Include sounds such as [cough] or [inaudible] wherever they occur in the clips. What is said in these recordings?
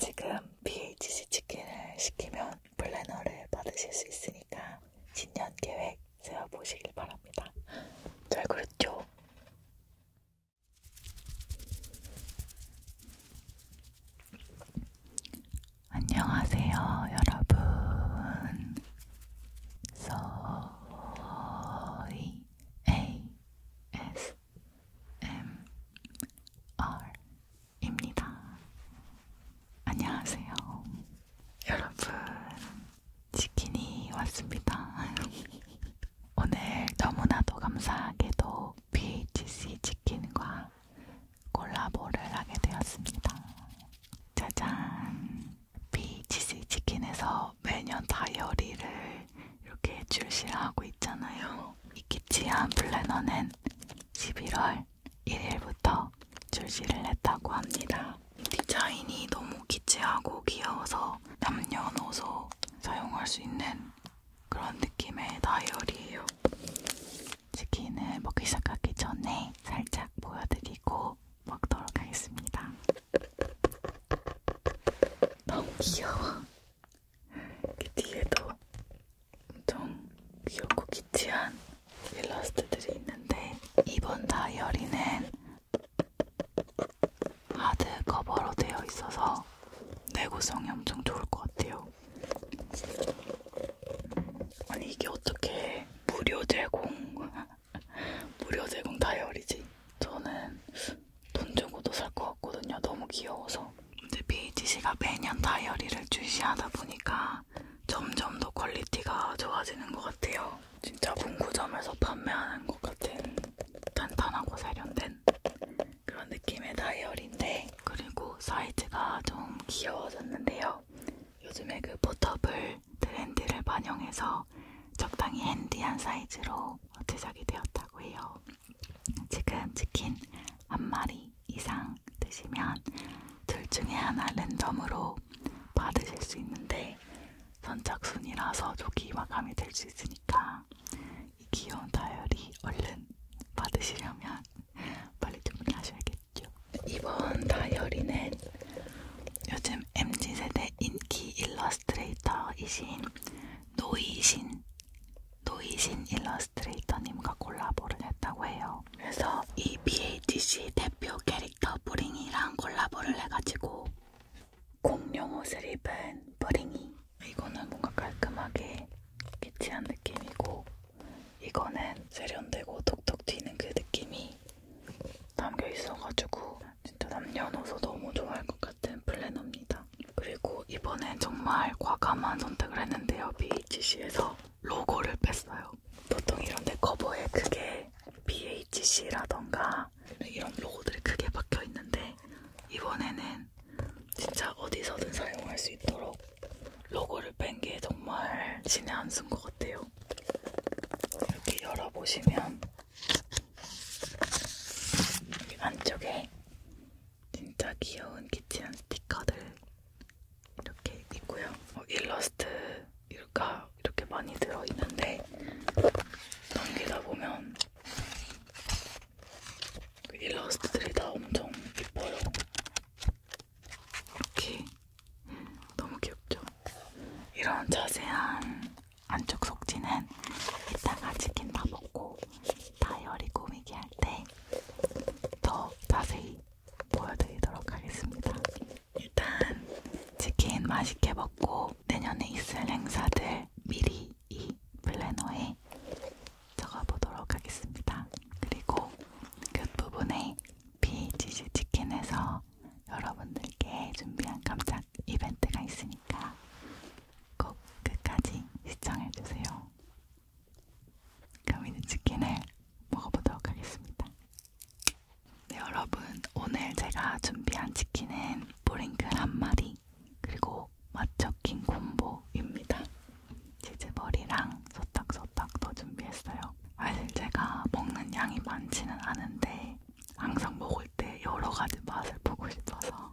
지금 BHC 치킨을 시키면 플래너를 받으실 수 있으니까 신년 계획 세워보시길 바랍니다. 잘 그랬죠? 안녕하세요, 여러분. 소이 ASMR ASMR입니다. 안녕하세요. 여러분, 치킨이 왔습니다. [laughs] 오늘 너무나도 감사하게도 BHC 치킨과 콜라보를 하게 되었습니다. 짜잔! BHC 치킨에서 매년 다이어리를 이렇게 출시하고 있잖아요. 이키치한 플래너는 11월 1일부터 출시를 했다고 합니다. 디자인이 너무 기치하고 귀여워서 남녀노소 사용할 수 있는 그런 느낌의 다이어리예요. 치킨을 먹기 시작하기 전에 살짝 보여드리고 먹도록 하겠습니다. 너무 귀여워. 그 뒤에도 엄청 귀엽고 기티한 일러스트들이 있는데 이번 다이어리는 하드 커버로 되어 있어서 내구성이 엄청 좋을 것 같아요. 아니 이게 어떻게 무료 제공 [laughs] 무료 제공 다이어리지? 저는 돈 주고도 살 것 같거든요. 너무 귀여워서. 근데 베이지 씨가 매년 다이어리를 출시하다 보니까 점점 더 퀄리티가 좋아지는 것 같아요. 진짜 문구점에서 판매하는 것 같은 탄탄하고 세련된 그런 느낌의 다이어리인데 그리고 사이즈가 좀 귀여워졌는데요. 요즘에 그 포터블 트렌드를 반영해서 적당히 핸디한 사이즈로 제작이 되었다고 해요. 지금 치킨 한 마리 이상 드시면 둘 중에 하나 랜덤으로 받으실 수 있는데 선착순이라서 조기 마감이 될 수 있으니까 이 귀여운 다이어리 얼른 받으시려면 [laughs] 빨리 주문하셔야겠죠. 이번 다이어리는 요즘 MZ세대 인기 일러스트레이터이신 노이신 노이신 일러스트레이터님과 콜라보를 했다고 해요. 그래서 이 BHC 대표 캐릭터 브링이랑 콜라보를 해가지고 공룡 옷을 입은 브링이. 이거는 뭔가 깔끔하게 키치한 느낌이고 이거는 세련되고 톡톡 튀는 그 느낌이 담겨 있어가지고 진짜 남녀노소 너무 좋아할 것 같은 플래너입니다. 그리고 이번엔 정말 과감한 선택을 했는데요. BHC에서 로고를 뺐어요. 보통 이런데 커버에 크게 BHC라던가 이런 로고들이 크게 박혀있는데 이번에는 진짜 어디서든 사용할 수 있도록 로고를 뺀 게 정말 신의 한수인 것 같아요. 이렇게 열어보시면 여기 안쪽에 진짜 귀여운 키친 스티커들 이렇게 있고요. 어, 일러스트 일가 이렇게 많이 들어있는데 넘기다 보면 그 일러스트들이 다 엄청 예뻐요. 이렇게 음, 너무 귀엽죠? 이런 자세한 안쪽 속지는 이따가 치킨 다 먹고 다이어리 꾸미기 할 때 더 자세히 보여드리도록 하겠습니다. 일단 치킨 맛있게 먹고 내년에 있을 행사들 미리 이 플래너에 적어보도록 하겠습니다. 그리고 끝부분에 비치즈 치킨에서 여러분들께 준비한 감자 작 이벤트가 있으니까 꼭 끝까지 시청해주세요. 가미는 치킨을 먹어보도록 하겠습니다. 네 여러분 오늘 제가 준비한 치킨은 보링클 한 마리 그리고 맛적힌 콤보입니다. 치즈볼이랑 소딱소딱도 준비했어요. 사실 제가 먹는 양이 많지는 않은데 항상 먹을 때 여러 가지 맛을 보고 싶어서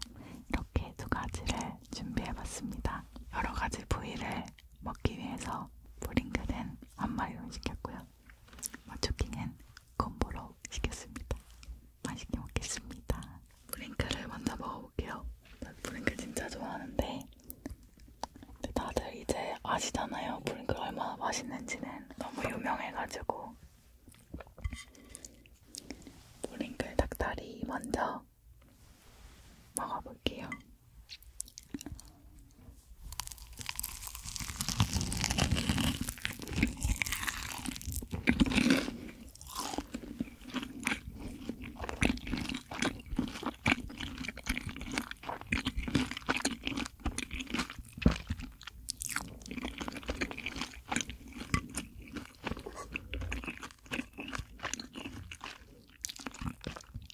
이렇게 두 가지를 준비해봤습니다. 여러 가지 부위를 먹기 위해서 브링글은 한 마리로 시켰고요. 마초킹은 콤보로 시켰습니다. 맛있게 먹겠습니다. 브링글을 먼저 먹어볼게요. 브링글 진짜 좋아하는데 다들 이제 아시잖아요. 브링글 얼마나 맛있는지는 너무 유명해가지고 보링클 닭다리 먼저 먹어볼게요.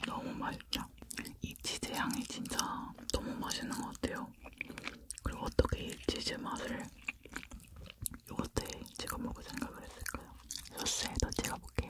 너무 맛있다. 이 치즈 향이 진짜 너무 맛있는 것 같아요. 그리고 어떻게 이 치즈 맛을 요거트에 찍어 먹을 생각을 했을까요? 소스에도 찍어 볼게요.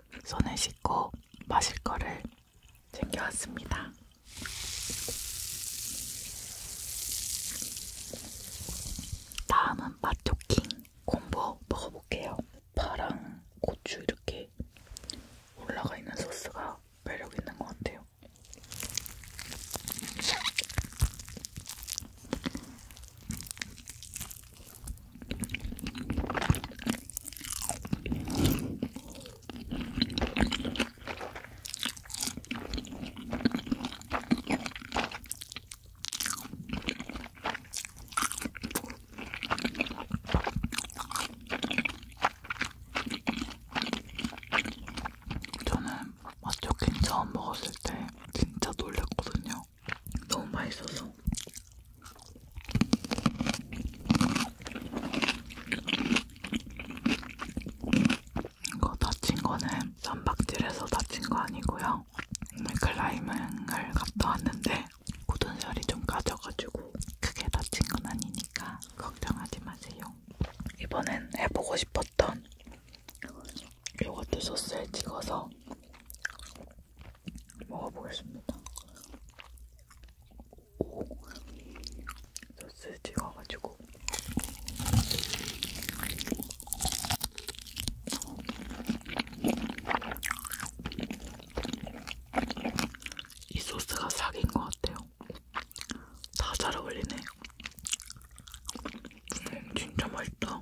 손을 씻고 마실 거를 챙겨왔습니다. 다음은 맛토킹 콤보 먹어볼게요. 파랑 고추 이렇게 올라가 있는 소스가 매력 있는 것 같아요. 저는 맛조킹 처음 먹었을 때 진짜 놀랐거든요. 진짜 너무 맛있어서 이거 다친 거는 쌈박질에서 다친 거 아니고요. 클라이밍을 갔다 왔는데 고든살이 좀 까져가지고 크게 다친 건 아니니까 걱정하지 마세요. 이번엔 해보고 싶었던 요거트 소스에 찍어서 먹어보겠습니다. 오, 소스 찍어가지고. 이 소스가 사기인 것 같아요. 다 잘 어울리네. 음, 진짜 맛있다.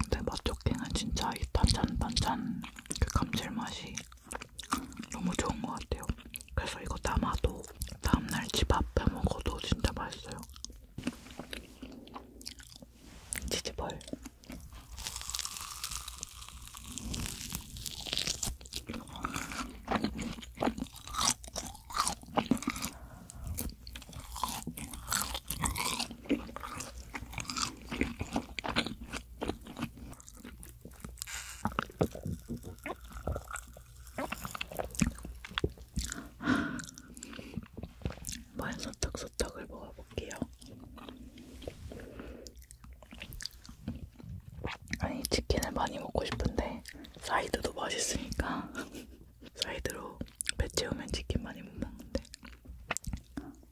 근데 맛조끼는 진짜 이 단짠단짠 그 감칠맛이 너무 좋은 것 같아요. 그래서 이거 담아도 다음날 집 앞에 먹어도 진짜 맛있어요. 치즈볼. 말 소떡소떡을 먹어볼게요. 아니 치킨을 많이 먹고 싶은데 사이드도 맛있으니까 [laughs] 사이드로 배 채우면 치킨 많이 못 먹는데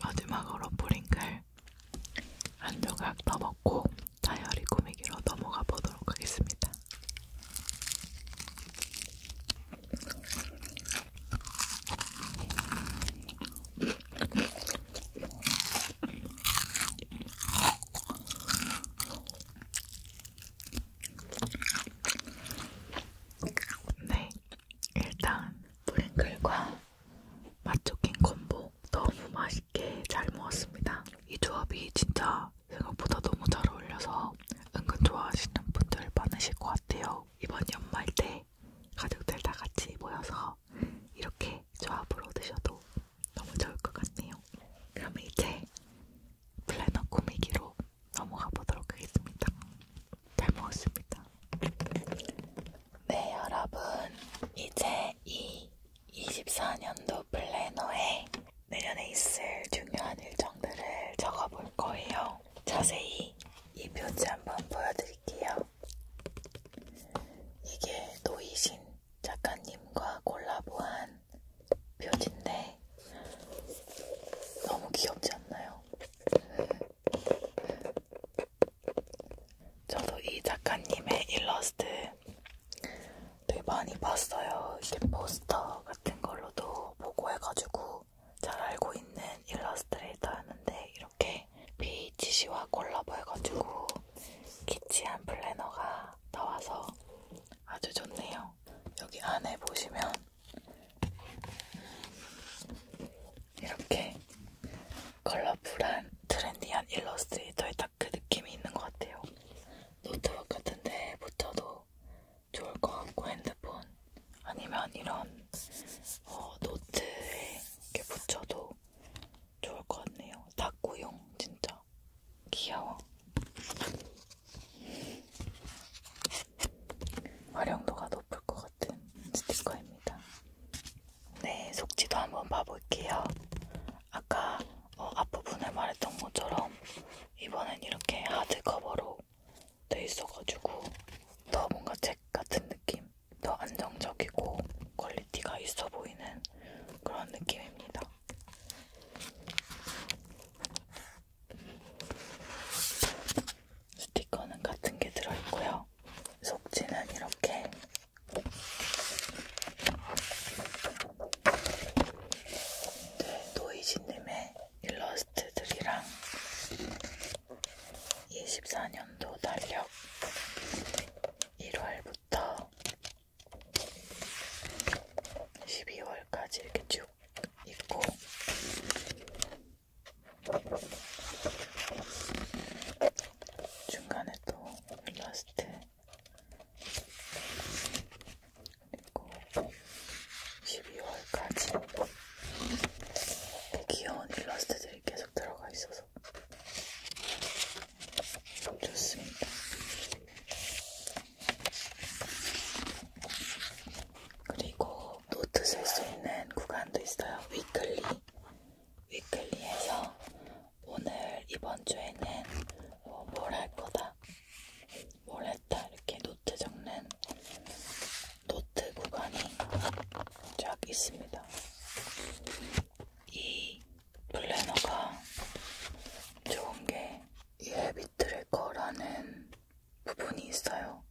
마지막으로 뿌링클 한 조각 더 먹고 다이어리 꾸미기로 넘어가 보도록 하겠습니다. 네, 일단 브링클과 맛조킹 콤보 너무 맛있게 잘 먹었습니다. 이 조합이 진짜 생각보다 너무 잘 어울려서 은근 좋아하시는 분들 많으실 것 같아요. 이번 연말 때 가족들 다 같이 모여서 이렇게 조합으로 드셔도 너무 좋을 것 같네요. 그럼 이제 플래너 꾸미기로 넘어가 보도록 하겠습니다. 잘 먹었습니다. 네, 여러분. 이제 이 24년도 플래너에 내년에 있을 중요한 일정들을 적어볼 거예요. 자세히 이 표지 한번 보여드릴게요. 이게 노이신 작가님과 콜라보한 표지인데 너무 귀엽지 않나요? 저도 이 작가님의 일러스트 되게 많이 봤어요. 이게 포스터 같은 걸로도 보고 해가지고 잘 알고 있는 일러스트레이터였는데 이렇게 BHC와 콜라보 해가지고 키치한 플래너가 나와서 아주 좋네요. 여기 안에 보시면 이렇게 컬러풀한 트렌디한 일러스트레이터의 딱 그 느낌이 있는 것 같아요. 노트북 같은데 붙여도 거 좋을 것 같고 핸드폰 아니면 이런 어, 노트에 이렇게 붙여도 좋을 것 같네요. 닦고용 진짜 귀여워. 활용도가 높을 것 같은 스티커입니다. 네, 속지도 한번 봐볼게요. 아까 어, 앞부분에 말했던 것처럼 이번엔 이렇게 하드커버로 돼 있어가지고 더 뭔가 책 같은 느낌, 더 안정적이고 퀄리티가 있어 보이는 그런 느낌입니다. 스티커는 같은 게 들어있고요. 속지는 이렇게 네, 노이지님의 일러스트들이랑 24년도 달력 1월부터 12월까지 이렇게 쭉 있고 중간에 또 일러스트 그리고 12월까지 귀여운 일러스트들이 계속 들어가 있어서 좋습니다. 그리고 노트 쓸 수 있는 구간도 있어요. 위클리. 위클리에서 오늘 이번 주에는 뭐뭘 할 거다. 뭘 했다 이렇게 노트 적는 노트 구간이 쫙 있습니다. 이 플래너가 좋은 게이 헤비트래커라는 부분이 있어요.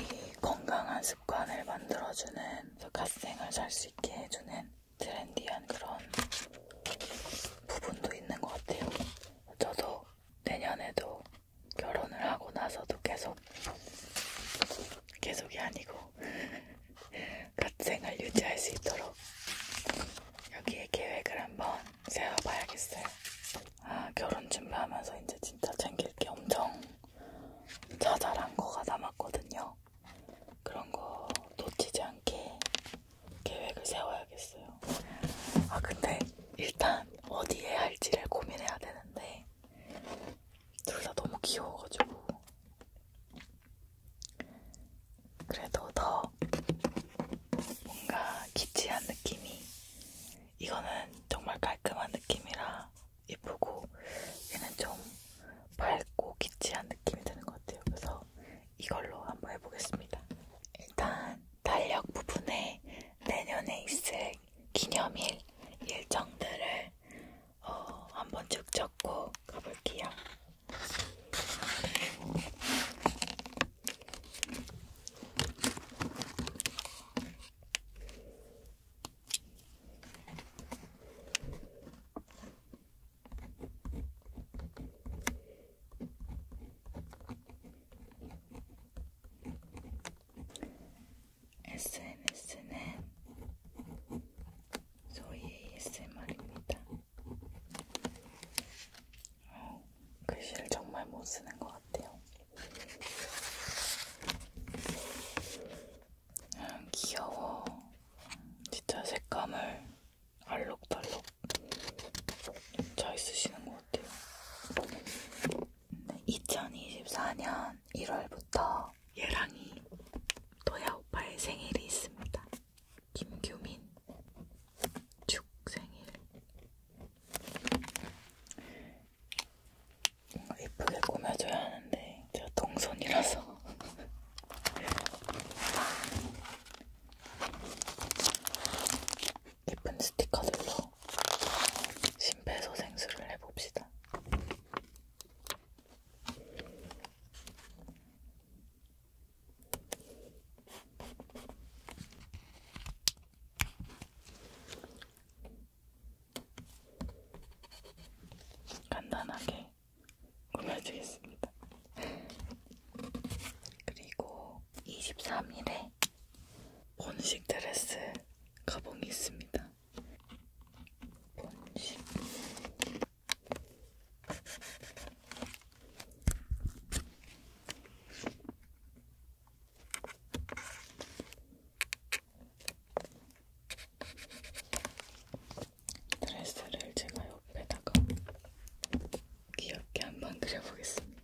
이 건강한 습관을 만들어주는 갓생을 살 수 있게 해주는 트렌디한 그런 부분도 있는 것 같아요. 저도 내년에도 결혼을 하고 나서도 계속 계속이 아니고 갓생을 [laughs] 유지할 수 있도록 여기에 계획을 한번 세워봐야겠어요. 아 결혼 준비하면서 이제 진짜 챙길 게 엄청 자잘한 거가 남았거든요. 그런 거 놓치지 않게 계획을 세워야겠어요. 아, 근데 일단 어디에 할지를 고민해야 되는데 둘 다 너무 귀여워가지고 그래도 더 뭔가 기치한 느낌이 이거는 정말 깔끔한 느낌이라 예쁘고 얘는 좀 밝고 기치한 느낌이 드는 것 같아요. 그래서 이걸로 한번 해보겠습니다. 일단 달력 부분에 내년에 있을 기념일 일정들을 어, 한번 쭉 적고 가볼게요. SNS는 소위 ASMR입니다. 어, 글씨를 정말 못 쓰는 것 같아요. 음, 귀여워. 진짜 색감을 알록달록 잘 쓰시는 것 같아요. 2024년 1월부터 예랑이 도야 오빠의 생일이 있습니다. 김규민 축생일 뭔가 예쁘게 꾸며줘야 하는데 제가 동선이라서 예쁜 스티커들로 심폐소생술을 해봅시다. 간단하게 꾸며주겠습니다. 그리고 23일에 본식 드레스 가봉이 있습니다. 본식 드레스를 제가 옆에다가 귀엽게 한번 그려보겠습니다.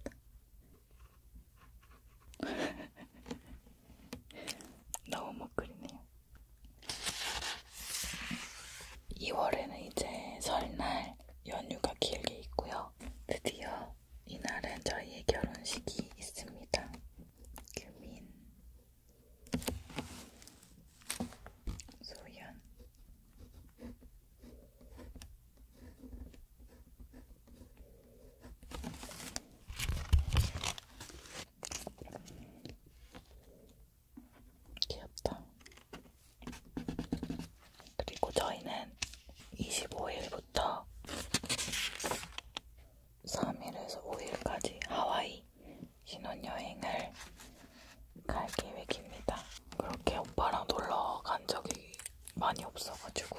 [laughs] 너무 못 그리네요. 2월에는 이제 설날 연휴가 길게 있고요. 드디어 이날은 저희의 결혼식이 있습니다. 규민, 소연, 귀엽다. 그리고 저희는 25일부터 3일에서 5일까지 하와이 신혼여행을 갈 계획입니다. 그렇게 오빠랑 놀러 간 적이 많이 없어가지고.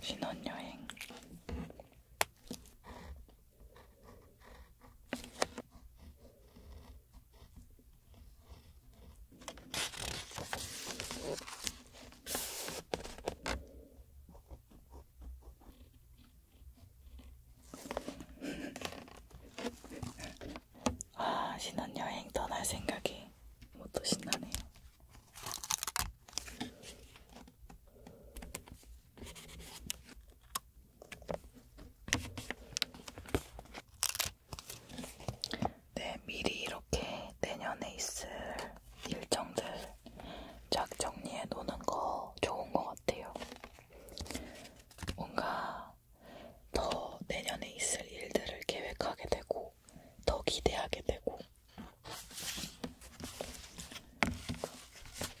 신혼여행 아, 신혼여행 떠날 생각이 뭐또 신나네요. 네, 미리 이렇게 내년에 있을 일정들 쫙 정리해 놓는 거 좋은 것 같아요. 뭔가 더 내년에 있을 일들을 계획하게 되고, 더 기대하게 되고,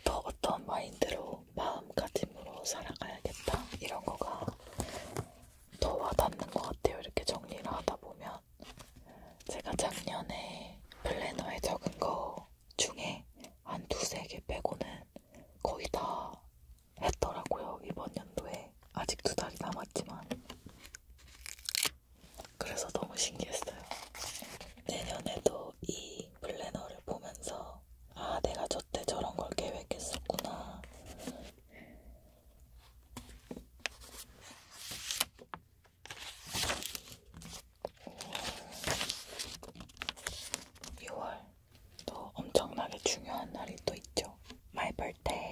더 어떤 마인드로 어, 마음가짐으로 살아가야겠다 이런 거가 더 와닿는 것 같아요. 이렇게 정리를 하다 보면 제가 작년에 플래너에 적은 거 중에 한 두세 개 빼고는 거의 다 했더라고요. 이번 연도에 아직 두 달이 남았지만 그래서 너무 신기했어요. 내년에도 이이 플래너를 보면서 아 내가 저때 저런 걸 계획했었구나. 오, 6월 또 엄청나게 중요한 날이 또 있죠. My birthday.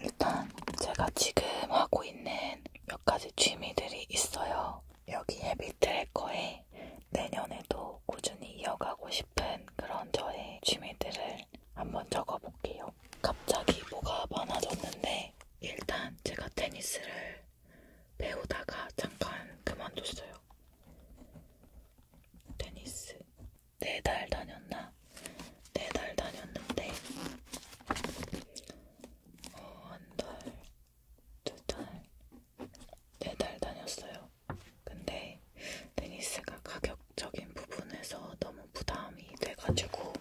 일단 제가 지금 하고 있는 몇 가지 취미들이 있어요. 여기 헤비 트래커에 내년에도 꾸준히 이어가고 싶은 그런 저의 취미들을 한번 적어볼게요. 갑자기 뭐가 많아졌는데 일단 제가 테니스를 배우다가 잠깐 그만뒀어요. 테니스 네 달 다녔나? 네 달 다녔는데 어, 한 달, 두 달, 네 달 다녔어요. 근데 테니스가 가격적인 부분에서 너무 부담이 돼가지고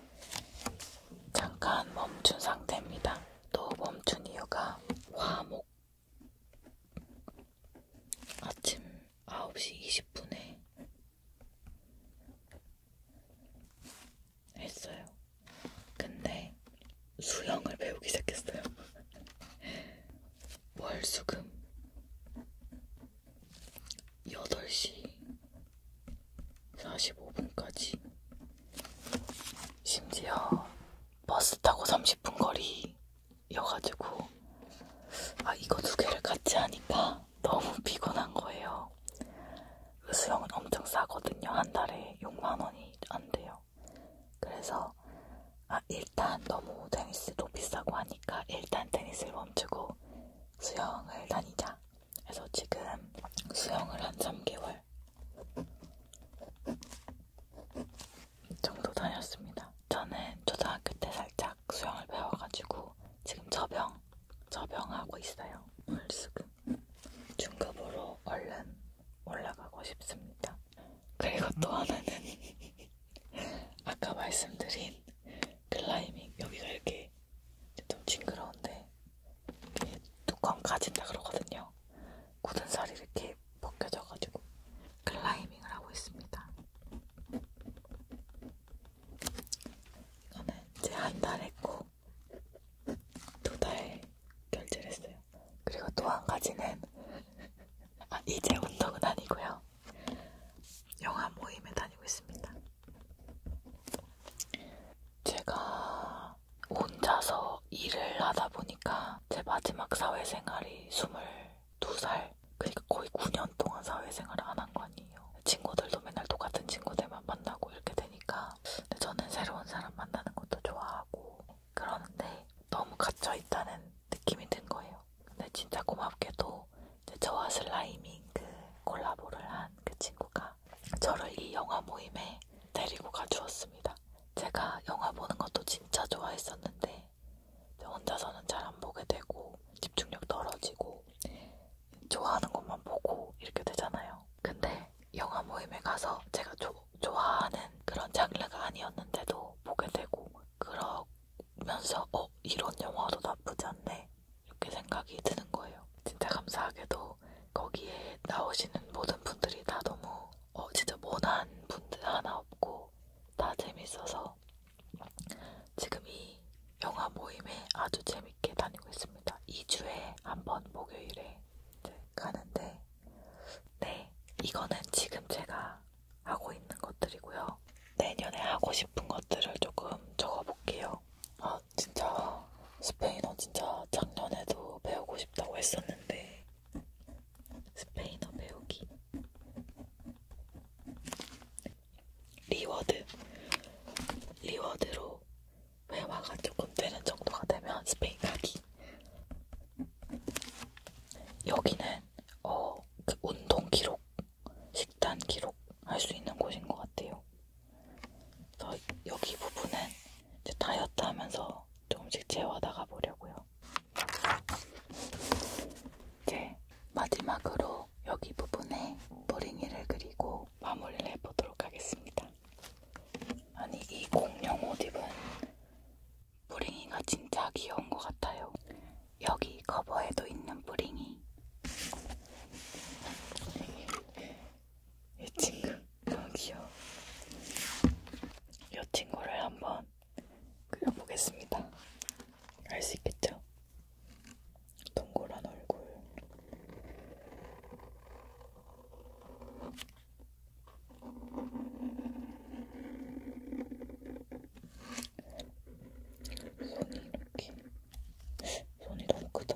잠깐 멈춘 상태입니다. 또 멈춘 이유가 화목 아침 9시 20분에 했어요. 근데 수영을 배우기 시작했어요. 월수금 8시 45분까지 심지어 버스 타고 30분 거리 여가지고 아 이거 두 개를 같이 하니까 너무 [laughs] 피곤한 거예요. 수영은 엄청 싸거든요. 한 달에 6만 원이 안 돼요. 그래서 아 일단 너무 테니스도 비싸고 하니까 일단 테니스를 멈추고 수영을 다니자. 그래서 지금 수영을 한 3개월 정도 다녔습니다. 저는 초등학교 때 살짝 수영을 배워가지고 지금 저병, 저병하고 있어요. 오늘 수금. 중급으로 얼른 올라가고 싶습니다. 그리고 또 하나는 아까 말씀드린 클라이밍 여기가 이렇게 좀 징그러운데 이렇게 뚜껑 가진다 그러거든요. 굳은 살이 이렇게 벗겨져가지고 클라이밍을 하고 있습니다. 이거는 이제 한 달 했고 두 달 결제를 했어요. 그리고 또 한 가지는 [laughs] 아, 이제 운동은 아니고요. 영화 모임에 다니고 있습니다. 제가 혼자서 일을 하다 보니 보니까 제 마지막 사회생활이 22살, 그러니까 거의 9년 동안 사회생활을 안 한 거 아니에요. 친구들도 맨날 똑같은 친구들만 만나고 이렇게 되니까 근데 저는 새로운 사람 만나는 것도 좋아하고 그러는데 너무 갇혀있다는 느낌이 든 거예요. 근데 진짜 고맙게도 저와 슬라이밍 그 콜라보를 한 그 친구가 저를 이 영화 모임에 데리고 가주었습니다. 있습니다. 제가 영화 보는 것도 진짜 좋아했었는데 혼자서는 잘 안 보게 되고 집중력 떨어지고 좋아하는 것만 보고 이렇게 되잖아요. 근데 영화 모임에 가서 제가 조, 좋아하는 그런 장르가 아니었는데도 보게 되고 그러면서 어 이런 영화도 나쁘지 않네 이렇게 생각이 드는 거예요. 진짜 감사하게도 거기에 나오시는 모든 분들이 다 너무 어, 진짜 모난 분들 하나 없고 다 재밌어서 지금 이 영화 모임에 아주 재밌게 다니고 있습니다. 2주에 한 번 목요일에 가는데 네, 이거는 지금 제가 하고 있는 것들이고요. 내년에 하고 싶은 것들을 조금 적어볼게요. 아, 진짜 스페인어 진짜 작년에도 배우고 싶다고 했었는데 스페인어 배우기 리워드 리워드로 회화가 조금 되는 정도가 되면 스페인 가기 여기는 어, 그 운동 기록, 식단 기록 할 수 있는 곳인 것 같아요. 그래서 여기 부분은 이제 다이어트 하면서 조금씩 채워나가 보려고요. 이제 마지막으로 여기 부분에 머링이를 그리고 마무리를 해보도록 하겠습니다. 아니 이 공룡 옷 입은 뿌링이가 진짜 귀여운 것 같아요. 여기 커버에도 있는 뿌링이. 이 친구 아, 귀여워. 이 친구를 한번 그려보겠습니다. 알 수 있겠죠? 동그란 얼굴. 손이 이렇게. 손이 너무 크다.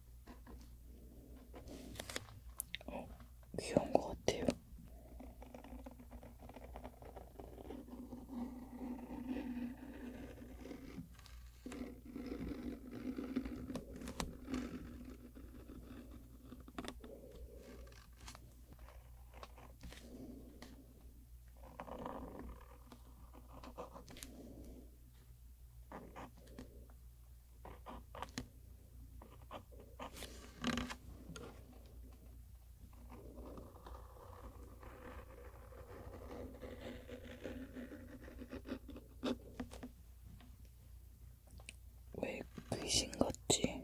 어, 귀여운 것 같아요. 왜 귀신 같지?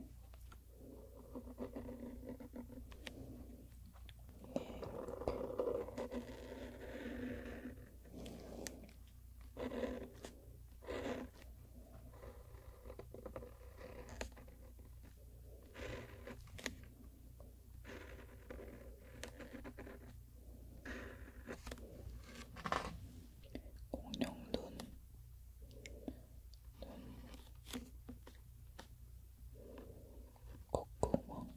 공룡 눈, 눈, 콧구멍,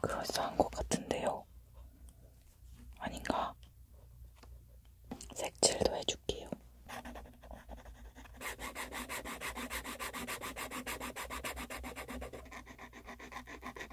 그럴싸한 것 같은데요. 아닌가? 색칠도 해줄게요.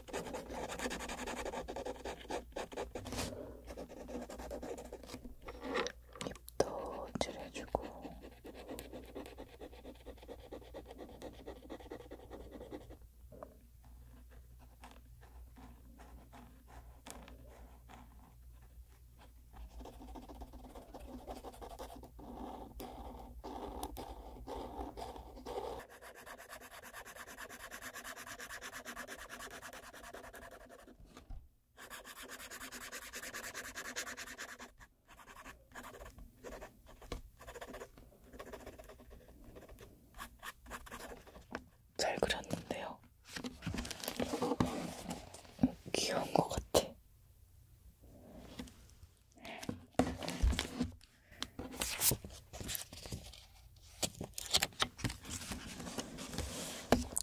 입도 칠해주고 잘 그렸는데요. 귀여운 것 같아.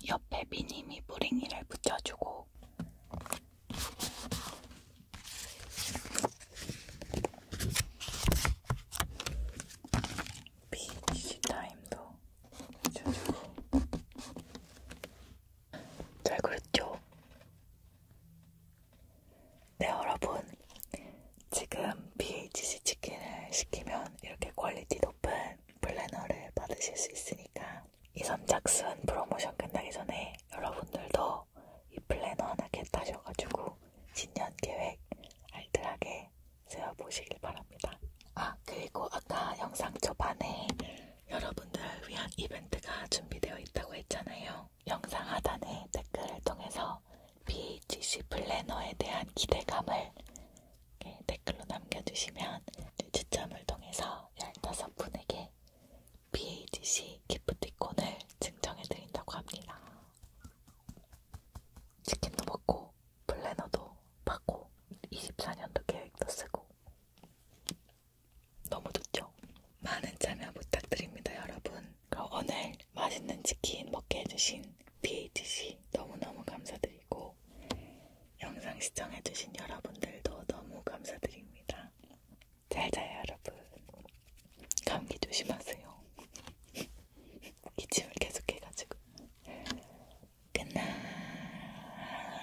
옆에 미님이 뿌링이를 붙여주고 비니시 타임도 붙여주고 잘 그렸죠? 네, 여러분. 지금 BHC 치킨을 시키면 이렇게 퀄리티 높은 플래너를 받으실 수 있으니까 이 선착순 프로모션 끝나기 전에 여러분들도 이 플래너 하나 겟하셔가지고 신년 계획 알뜰하게 세워보시길 바랍니다. 아, 그리고 아까 영상 초반에 여러분들을 위한 이벤트가 준비되어 있다고 했잖아요. 영상 하단에 댓글을 통해서 BHC 플래너에 대한 기대감을 댓글로 남겨주시면 추첨을 통해서 15분에게 BHC 기프티콘을 증정해드린다고 합니다. 치킨도 먹고 플래너도 받고 24년도 계획도 쓰고 너무 좋죠? 많은 참여 부탁드립니다 여러분. 그럼 오늘 맛있는 치킨 먹게 해주신 BHC 너무너무 감사드리고 영상 시청해주신 여러분들도 너무 감사드립니다. 잘 자요 여러분. 감기 조심하세요. [laughs] 기침을 계속해가지고. 굿나잇.